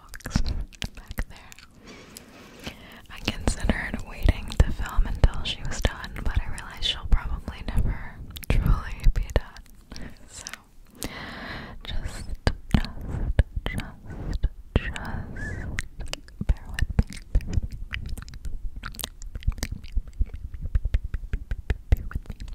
box back there. I considered waiting to film until she was done, but I realized she'll probably never truly be done. So, just, just, just, just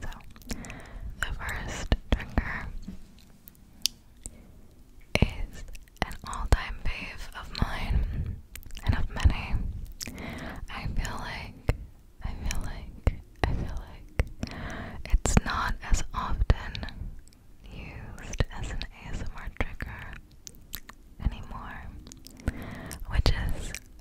so, the first trigger is an all time fave of mine and of many. I feel like, I feel like, I feel like it's not as often used as an ASMR trigger anymore, which is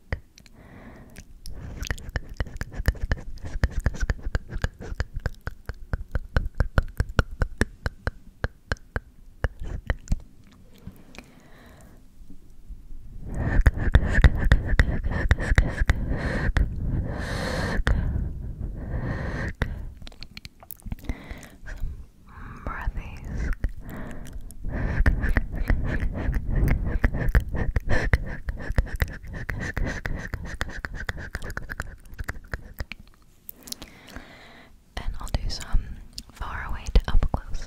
Some breathies. And I'll do some far away to up close.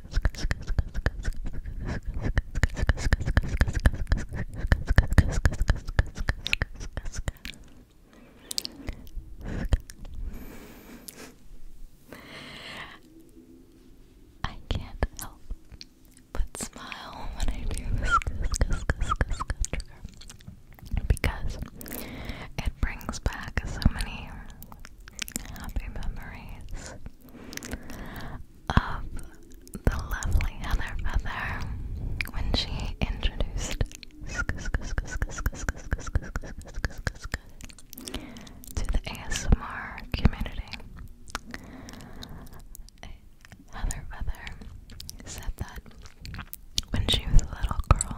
I can't help but smile when I do this trigger because it brings back so many happy memories of the lovely Heather Feather when she introduced to the ASMR community. Heather Feather said that when she was a little girl,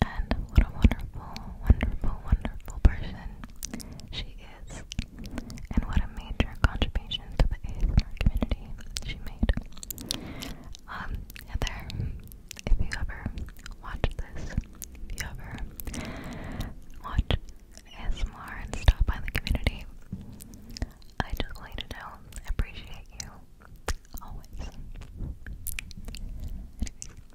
and what a wonderful, wonderful, wonderful person she is. And what a major contribution to the ASMR community she made. Um, there, if you ever watch this, if you ever watch ASMR and stop by the community, I just want to know I appreciate you always.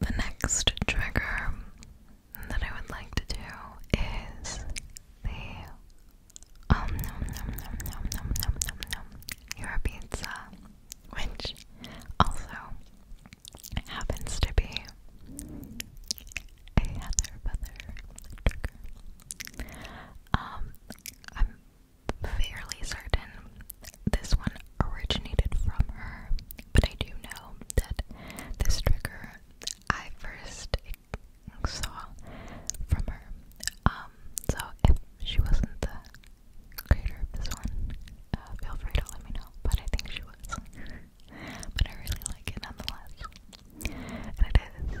The next trigger that I would like to do is the um your pizza, which also happens to be a heather feather trigger. Um, I'm fairly certain this one originated from her, but I do know that this trigger I first saw from her. Um, so if she wasn't the creator of this one, uh, feel free to let me know, but I think she was. but I really like it nonetheless. And it is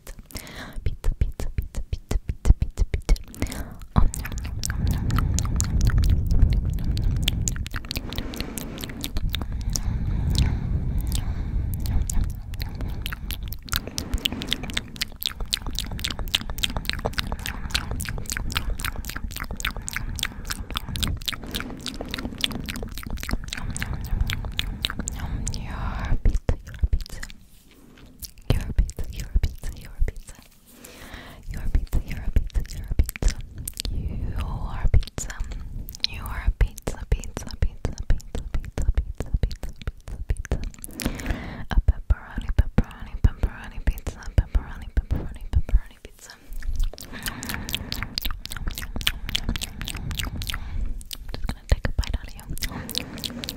pizza pizza pizza pizza pizza pizza pizza pizza Your pizza, your pizza. Your pizza, your pizza, your pizza. Your pizza, your pizza, your pizza. Your pizza. Your pizza, pizza, pizza, pizza, pizza, pizza, pizza, pizza, pizza. A pepperoni, pepperoni, pepperoni pizza, pepperoni, pepperoni, pepperoni pizza. I'm just gonna gonna take a bite out of you.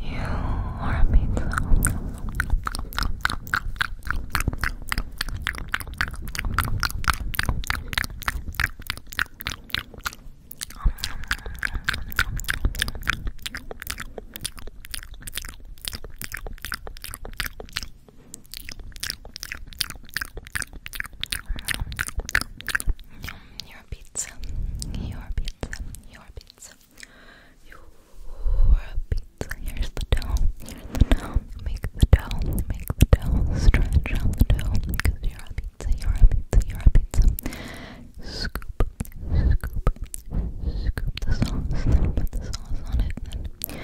You are a pizza. Your pizza, your pizza, your pizza. You pizza. Here's the dough. Here's the dough. Make the dough. Make the dough. Stretch out the dough. Cause you're a pizza. You're a pizza. You're a pizza. Scoop. Scoop. Scoop the sauce. put the sauce on it.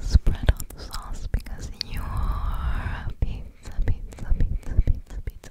spread out the sauce because you're a pizza. Pizza. Pizza. Pizza. Pizza.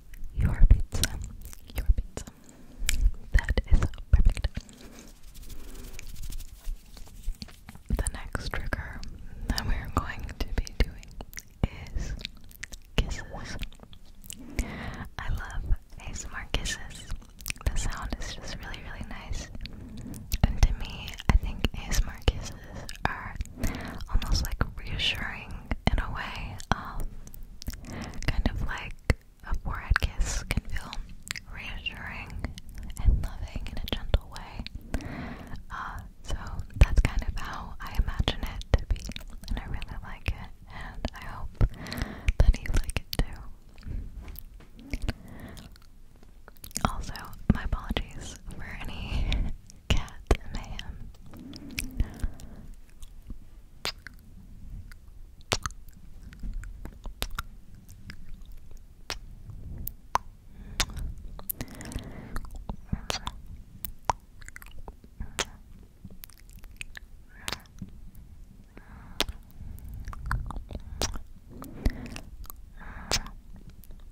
your pizza. Your pizza. That is perfect. The next trigger that we're going to be doing is kisses. I love ASMR kisses. The sound is just really, really nice. And to me, I think ASMR kisses are almost like reassuring in a way, um, kind of like a forehead kiss can feel reassuring and loving in a gentle way. Uh, so that's kind of how I imagine it to be, and I really like it, and I hope that you like it too. Also, my apologies for any Cat Mayhem.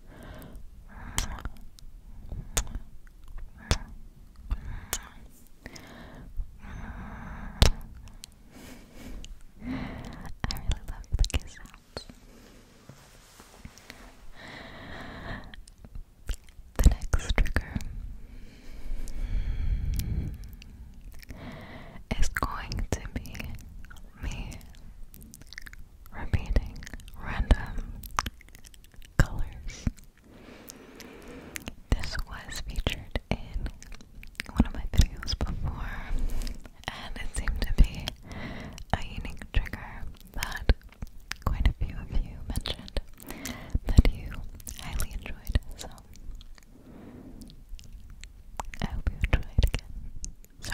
I really love the kiss sounds. The next trigger is going to be me repeating random colors. This was featured in one of my videos before, and it seemed to be a unique trigger that quite a few of you mentioned that you highly enjoyed. So, I hope you enjoyed again. So,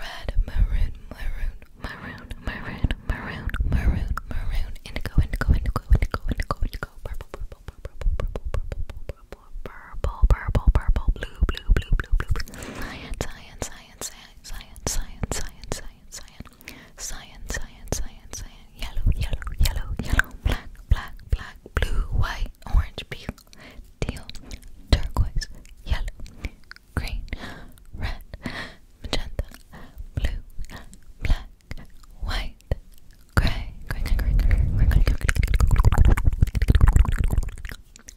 Red, maroon, maroon, maroon, maroon, maroon, maroon, maroon, indigo, indigo, indigo, indigo, indigo, indigo, purple, purple, purple, purple, purple, purple, purple, purple, purple, blue, blue, blue, blue, blue, science, science, science, science, science, science, science, science, science, science, science, science, yellow, yellow, yellow, yellow, black, black, black, blue, white, orange, peel, teal, turquoise, yellow, green, red, magenta, blue, black, white, grey, grey, grey, grey, grey, grey, grey, grey,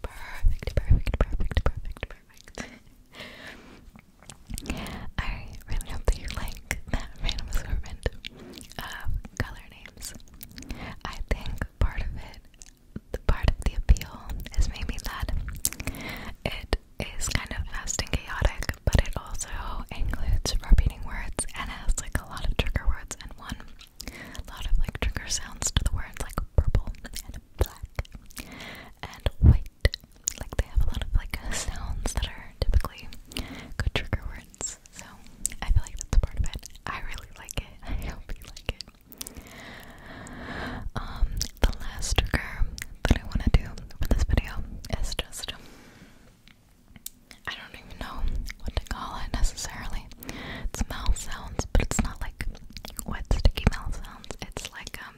Perfect, perfect, perfect, perfect, perfect. I really hope that you like that random assortment of color names. I think part of it the part of the appeal is maybe that it is kind of fast and chaotic, but it also includes repeating words and has like a lot of trigger words and one lot of like trigger sounds to the words like purple and black and white. Like they have a lot of like sounds that are typically good trigger words. So I feel like that's part of it. I really like it. I hope you like it. Um, the last trigger that I want to do for this video is just I don't even know what to call it necessarily. It's mouth sounds, but it's not like wet sticky mouth sounds. It's like um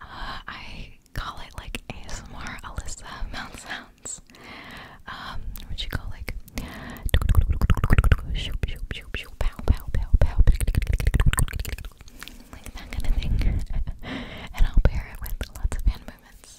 uh, I call it like ASMR Alyssa mouth sounds. Um, what you call like pew, pow, pow, pow, pow, and I'll pair it with lots of hand movements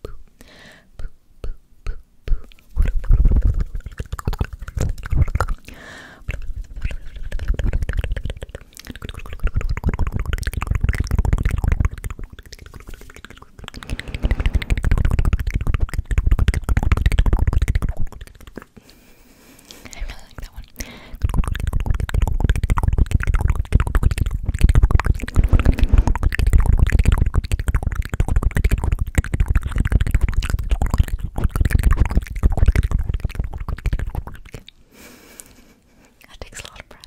poo, poo, poo, poo, poo. I really like that one. That takes a lot of breath.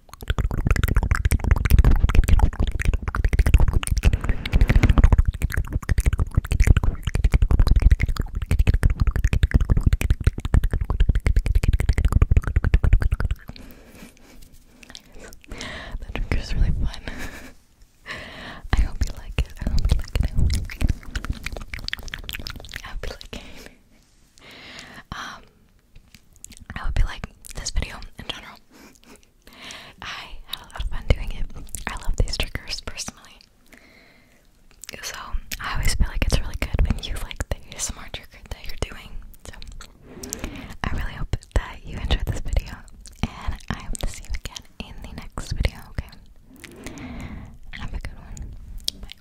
That trick is really fun. I hope you like it. I hope you like it. I hope you like it. I hope you like it. um I hope you like this video in general. I had a lot of fun doing it. I love these triggers personally. So I always feel like it's really good when you like the ASMR trigger that you're doing. So I really hope that you enjoyed this video and I hope to see you again in the next video, okay? Have a good one. Bye.